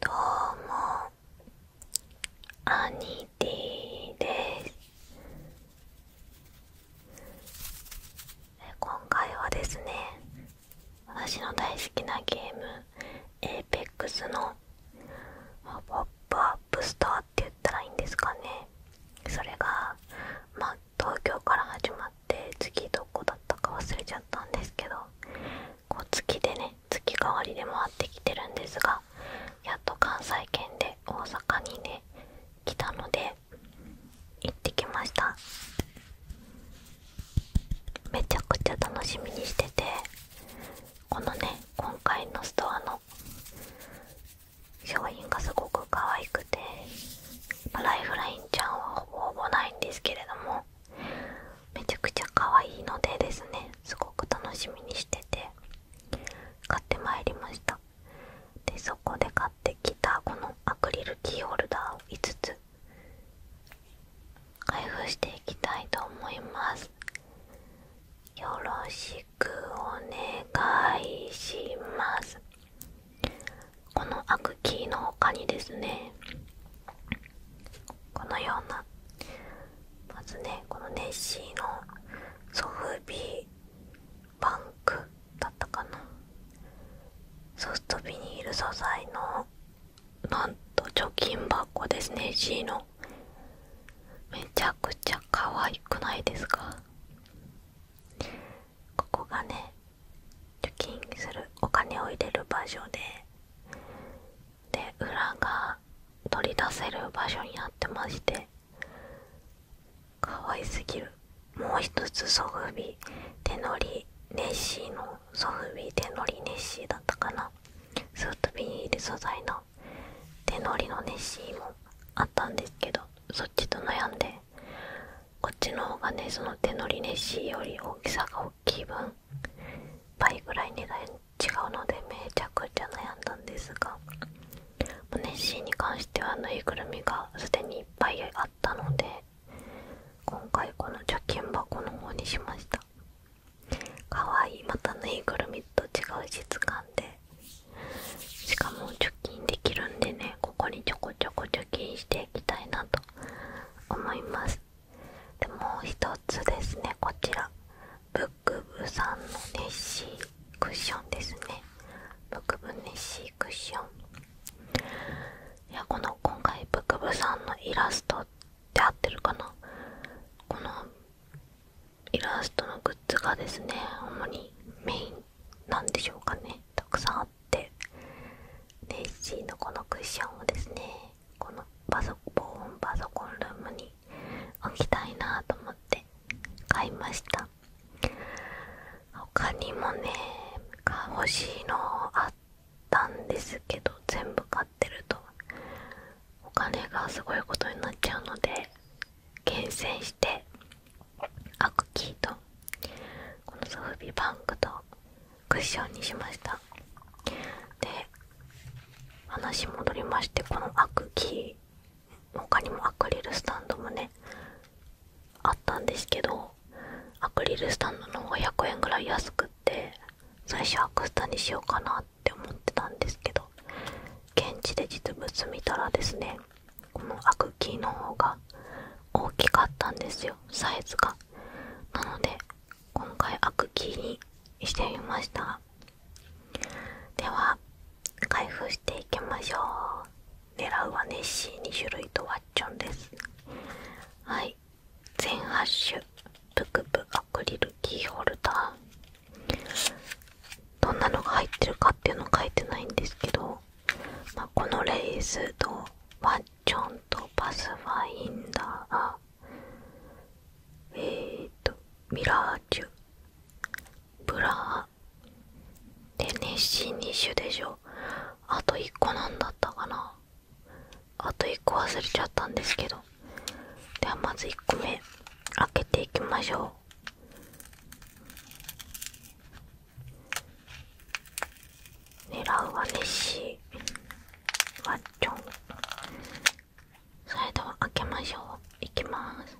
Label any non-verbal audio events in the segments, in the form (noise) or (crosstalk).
どうもアニティです今回はですね私の大好きなゲーム APEX のポップアップストアって言ったらいいんですかねそれがまあ東京から始まっってどこだったか忘れちゃったんですけどこう月でね月替わりで回ってきてるんですがやっと関西圏で大阪にね来たので行ってきましためちゃくちゃ楽しみにしててこのね今回のストアの商品がすごく可愛くてライフラインちゃんはほぼほぼないんですけれどもめちゃくちゃ可愛いのでですねすごく楽しみにしてて買ってまいりましたでそこで買ってきたこのアクリルキーホルダーを5つ開封していきたいと思いますよろしくお願いしますこのアクキーの他にですねこのようなまずねこのネッシーのソフビバンクだったかなソフトビニール素材のなんと貯金箱ですね C のめちゃくちゃ可愛くないですかここがね貯金するお金を入れる場所でで裏が取り出せる場所にあってまして可愛すぎるもう一つソフビ手乗りネッシーのソフビ手乗りネッシーだったかなスートビニール素材の手乗りのネッシーもあったんですけどそっちと悩んでこっちの方がねその手乗りネッシーより大きさが大の気分倍ぐらい値段違うのでめちゃくちゃ悩んだんですがネッシーに関してはぬいぐるみがすでにいっぱいあったので今回この貯金箱の方にしましたかわいいまたぬいぐるみと違う質感でしかも貯金できるんでねここにちょこちょこ貯金していきたいなと思いますでもう一つですねこちらブック部さんのネッシークッションですねブック部ネッシークッションいやこの今回ブック部さんのイラストって合ってるかなこのイラストのグッズがですね主にメインなんでしょうかねたくさんあっってネッシーのこのクッションをですねこのパソコンパソコンルームに置きたいなと思って買いました他にもね欲しいのあったんですけど全部買ってるとお金がすごいことになっちゃうので厳選してアクキーとこのソフビバンクとクッションにしましたで話戻りましてこのアクキー他にもアクリルスタンドもねあったんですけどアクリルスタンドの方が100円ぐらい安くって最初アクスタにしようかなって思ってたんですけど現地で実物見たらですねこのアクキーの方が大きかったんですよサイズがなので今回アクキーにしてみましたでは開封していきましょう狙うはネッシー2種類とワッチョンですはい全8種、シュプアクリルキーホルダーどんなのが入ってるかっていうの書いてないんですけど、まあ、このレースとワンッチョとパスファインダーえっとミラーチュブラーでネッシー2種でしょあと1個なんだったかなあと1個忘れちゃったんですけどではまず1個目開けていきましょう狙うはネッワッチョンサイドを開けましょういきます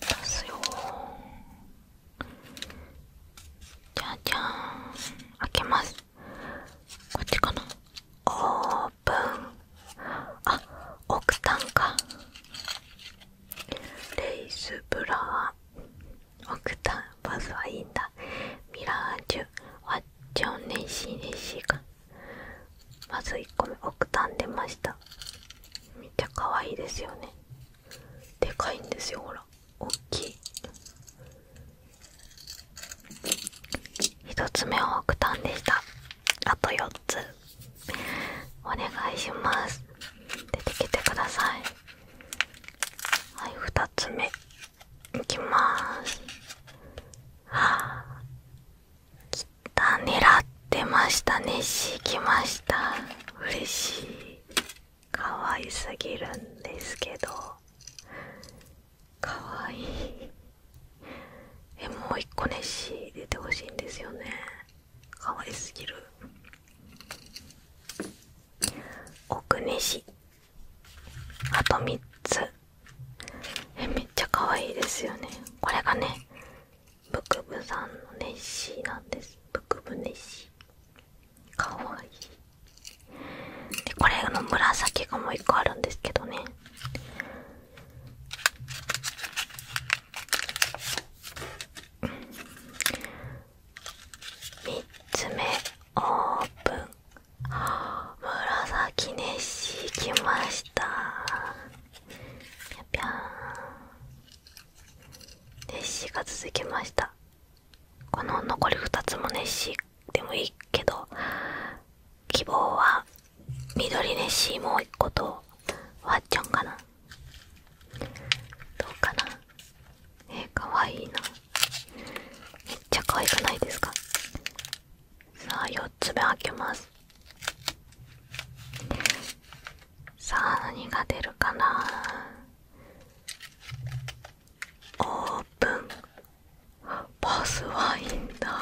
出すよじゃじゃーん開けますこっちかなオープンあオクタンかレイスブラーオクタンまずはいいんだミラージュワッチョンネッシーネッシーかまず1個目オクタン出ましためっちゃ可愛いですよねでかいんですよほら大きい1つ目はオクタンでしたあと4つお願いします出てきてくださいはい2つ目いきますはあきた狙ってましたねし来ました嬉しい可愛すぎるんですけど可愛いえもう一個ネッシー出てほしいんですよね可愛すぎる奥ネシあと3つえめっちゃ可愛いですよねこれがねブクブさんのネッシーなんですブクブネッシーかわいいでこれの紫がもう1個あるんですけどね3つ目オープン紫ネッシー来ましたぴゃぴゃんネッシーが続きましたこの残り2つもネッシーでもいいけど希望は緑ネッシーもう1個とワッチョんかなどうかなえかわいいなめっちゃ可愛くないですかさあ4つ目開けますさあ何が出るかなオープンボスワインだ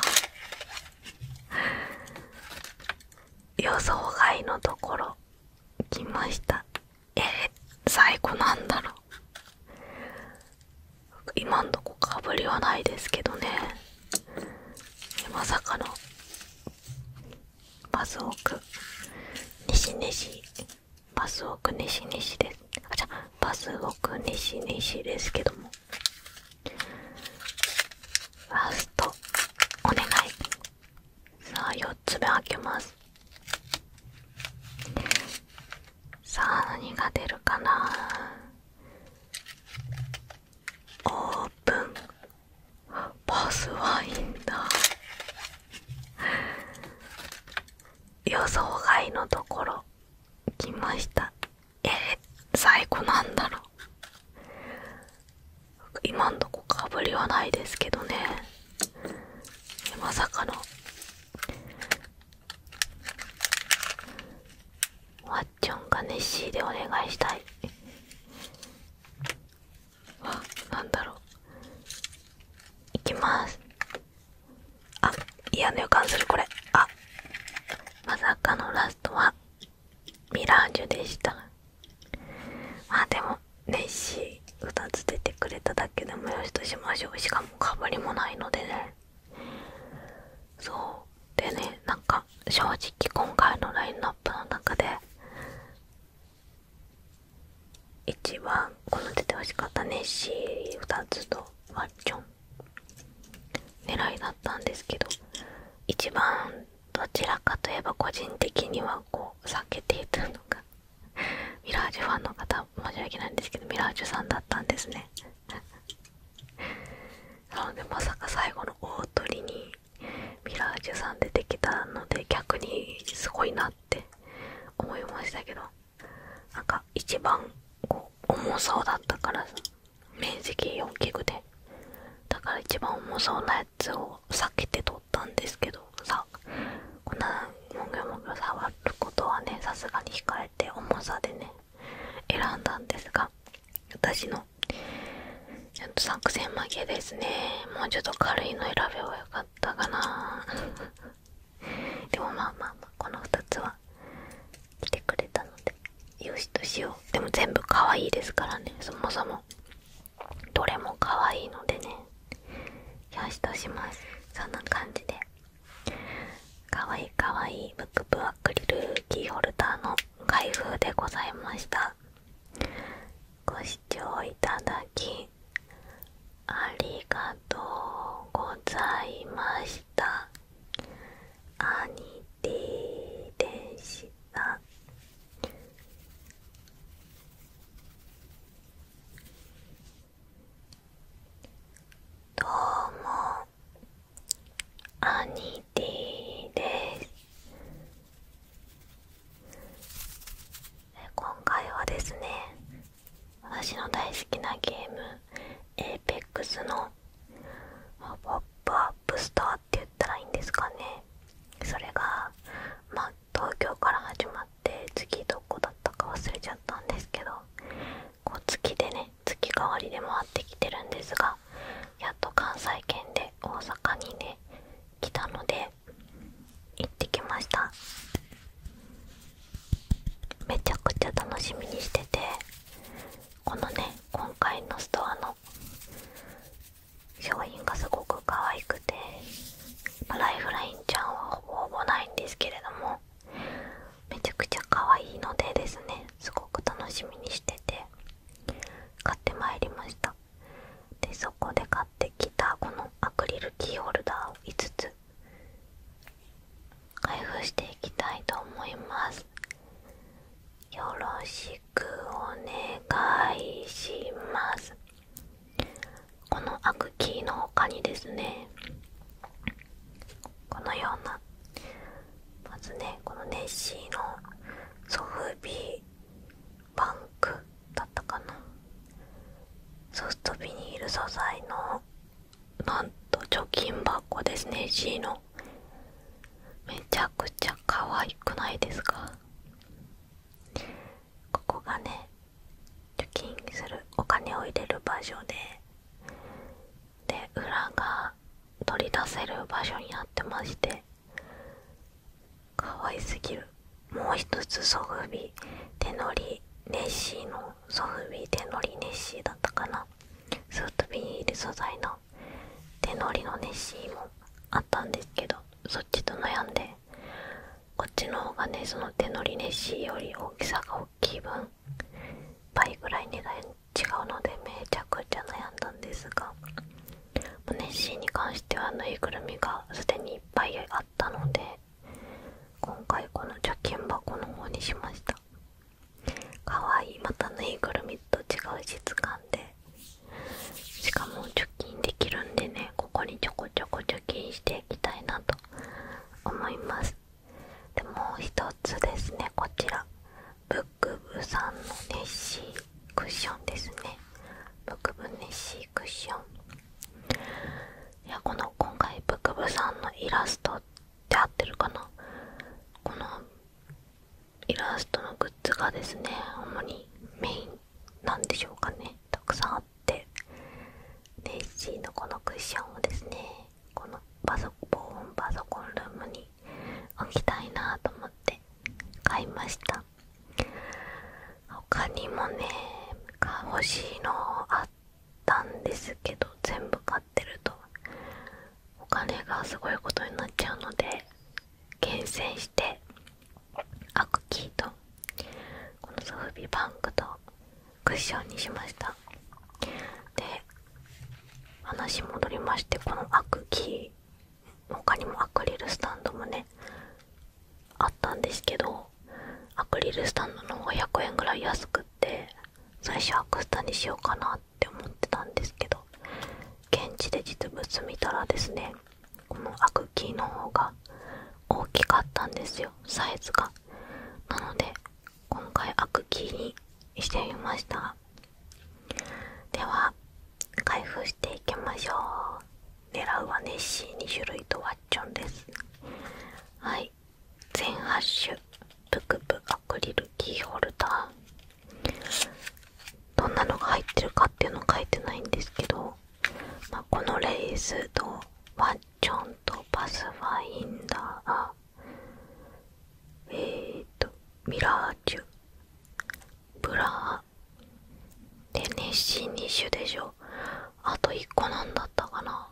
予想外のところ来ましたえー、最高なんだろう今んとこかぶりはないですけどねまさかのパスオク西西パスオク西西ですあじゃあバスオク西西ですけどもラストお願いさあ4つ目開けますさあ何が出るかなオープンパスワインだ予想外のところ来ましたえー、最高なんだろう今んとこかぶりはないですけどねまさかのワッチョンかネッシーでお願いしたいわなんだろういきますあ嫌な予感するこれあまさかのラストはミラージュでしたあでもネッシー2つ出てくれただけでもよしとしましょうしかも。がりもないのでねそうでねなんか正直今回のラインナップの中で一番この出てほしかったネッシー2つとワッチョン狙いだったんですけど一番どちらかといえば個人的にはこう避けていたのがミラージュファンの方申し訳ないんですけどミラージュさんだったんですね (laughs) なのでまさか最後の大鳥にミラージュさん出てきたので逆にすごいなって思いましたけどなんか一番こう重そうだったから面積4キグでだから一番重そうなやつを避けて撮ったんですけどさ粉もぐもぐ触ることはねさすがに控えて重さでね選んだんですが私のちゃんと作戦負けですねもうちょっと軽いの選べばよかったかな (laughs) でもまあまあまあこの2つは来てくれたのでよしとしようでも全部可愛いですからねそもそもどれも可愛いのでねよしとしますそんな感じでかわいいかわいいブックブアクリルキーホルダーの開封でございましたご視聴いただきありがとうございましたアニティでしたどうもアニティです今回はですね私の大好きなゲーム APEX のポップアップストアって言ったらいいんですかねそれがま東京から始まって次どこだったか忘れちゃったんですけどこう月でね月替わりで回ってきてるんですがやっと関西圏で大阪にね来たので行ってきましためちゃくちゃ楽しみにしててこのね今回のストアの商品がすごく可愛くてライフラインちゃんはほぼほぼないんですけれどもめちゃくちゃ可愛いのでですねすごく楽しみにしてて買ってまいりましたでそこで買ってきたこのアクリルキーホルダーを5つ開封していきたいと思いますよろしくお願いしますこのアクキーの他にですねこのようなまずねこのネッシーのソフビバンクだったかなソフトビニール素材のなんと貯金箱ですね C のめちゃくちゃ可愛くないですかここがね貯金するお金を入れる場所でで裏が取り出せる場所にあってまして可愛すぎるもう一つソフビ手乗りネッシーのソフビ手乗りネッシーだったかなスートビニール素材の手乗りのネッシーもあったんですけどそっちと悩んでこっちの方がねその手乗りネッシーより大きさが大気分倍ぐらい値段違うのでめちゃくちゃ悩んだんですがネッシーに関してはぬいぐるみがすでにいっぱいあったので今回この貯金箱の方にしましたかわいいまたぬいぐるみと違う質感でしかも貯金できるんでねここにちょこちょこ貯金していきたいなと思いますでもう一つですねこちらブックブさんのネッシークッションですねブックブネッシークッションいやこの今回ブックブさんのイラストって合ってるかなこのイラストのグッズがですね主にメインなんでしょうかねたくさんあってネッシーのこのクッションをですねこのパソ防音パソコンルームに置きたいなと思って買いました他にもね欲しいのあったんですけど全部買ってるとお金がすごいことになっちゃうので厳選してアクキーとこのソフビバンクとクッションにしましたで話戻りましてこのアクキー他にもアクリルスタンドもねあったんですけどアクリルスタンドの方が100円ぐらい安くって最初アクスタにしようかなって思ってたんですけど現地で実物見たらですねこのアクキーの方が大きかったんですよサイズがなので今回開くキーにしてみましたでは開封していきましょう狙うはネッシー2種類とワッチョンですはい全8種プクプアクリルキーホルダーどんなのが入ってるかっていうの書いてないんですけど、まあ、このレースとワッチョンとパスファインダーえっとミラージュブラー！でネッシー2種でしょあと1個なんだったかな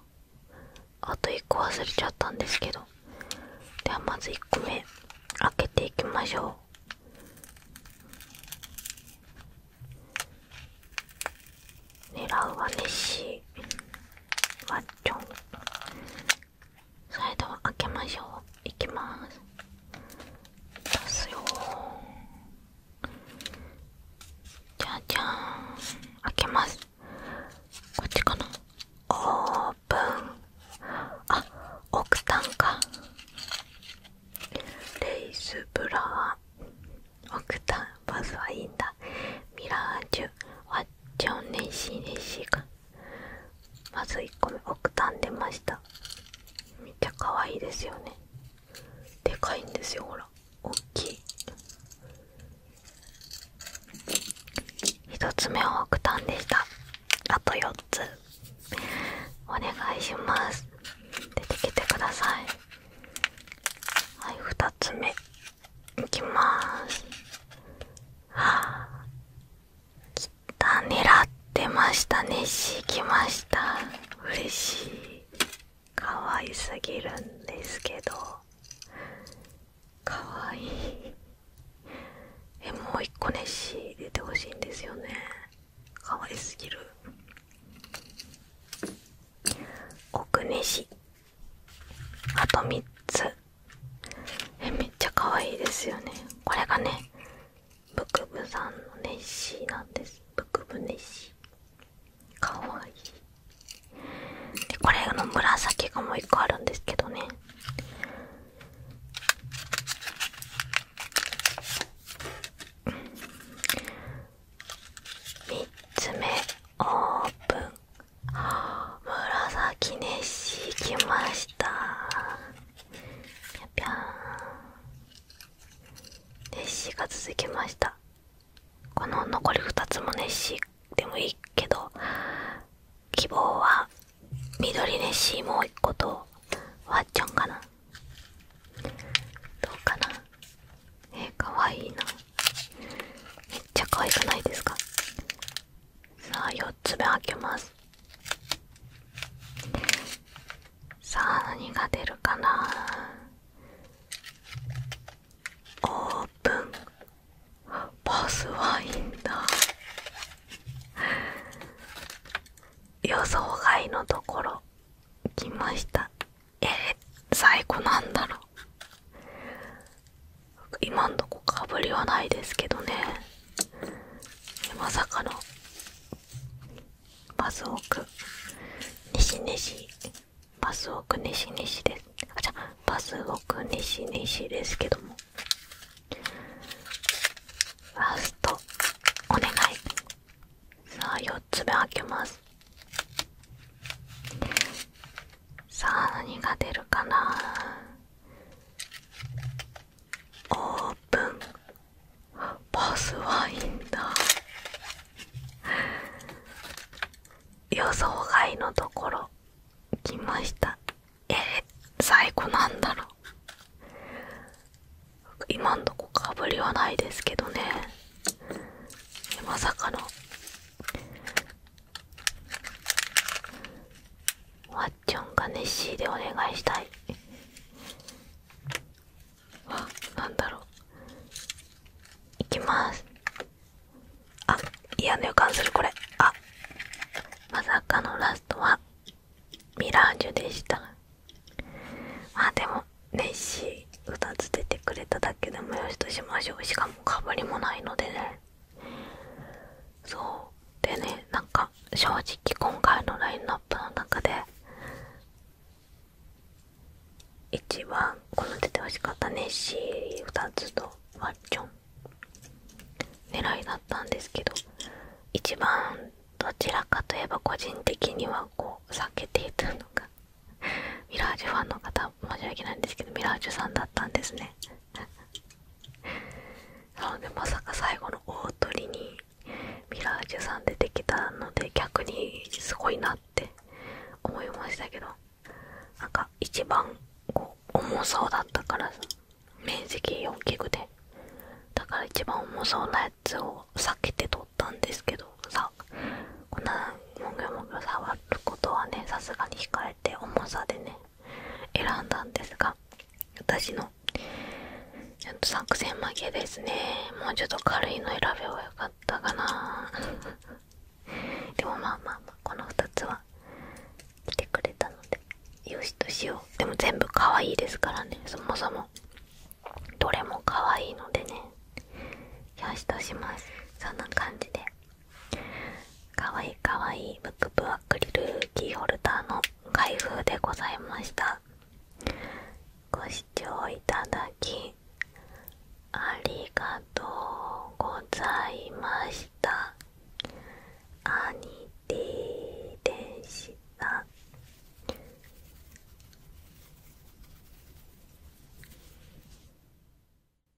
あと1個忘れちゃったんですけどではまず1個目開けていきましょう狙うはネッシーワッチョンサイドは開けましょういきます出すよじゃじゃん開けますこっちかなオープンあオクタンかレイスブラーオクタンバズはいいんだミラージュワッジョンネッシネシーまず1個目奥ン出ましためっちゃ可愛いですよねでかいんですよほら大きい1つ目は奥ンでしたあと4つお願いします出てきてくださいはい2つ目いきますはあきた狙ってましたネッシー来ました嬉しい可愛すぎるんですけど可愛いえもう一個ネッシー出てほしいんですよね可愛すぎる奥ネシあと3つえめっちゃ可愛いですよねこれがねブクブさんのネッシーなんですブクブネッシーかわいいでこれの紫がもう1個あるんですけどね3つ目オープン紫ネッシー来ましたぴゃぴゃんネッシーが続きましたこの残り2つもネッシーでもいいけど希望は緑ネッシーもう1個とワッチョんかなどうかなえかわいいなめっちゃ可愛くないですかさあ4つ目開けますさあ何が出るかなオープンパスワインだ予想外のところ来ましたえー、最後なんだろう今んとこかぶりはないですけどねまさかのパスオク西西パスオク西西ですあじゃあバスオク西西ですけどもラストお願いさあ4つ目開けますさあ何が出るかなオープンボスワインだ予想外のところ来ましたえー、最高なんだろう今んとこかぶりはないですけどねまさかのワッチョンがネッシーでお願いしたいあなんだろういきますあ嫌な予感するこれあまさかのラストはミラージュでしたあでもネッシー2つ出てくれただけでもよしとしましょうしかもかぶりもないのでねそうでねなんか正直今回のラインナップの中で一番この出てほしかったネッシー2つとワッチョン狙いだったんですけど一番どちらかといえば個人的にはこう避けていたのがミラージュファンの方申し訳ないんですけどミラージュさんだったんですねそうでまさか最後の大鳥にミラージュさん出てきたので逆にすごいなって思いましたけどなんか一番こう重そうだったから面積4器具でだから一番重そうなやつを避けて撮ったんですけどさこんなもぐもぐ触ことはねさすがに控えて重さでね選んだんですが私のちょっと作戦負けですねもうちょっと軽いの選べばよかったかな (laughs) でもまあまあまあこの2つは来てくれたのでよしとしようでも全部可愛いですからねそもそもどれも可愛いのでねよしとしますそんな感じでかわいいかわいいブックブアクリルキーホルダーの開封でございましたご視聴いただきありがとうございましたアニティでした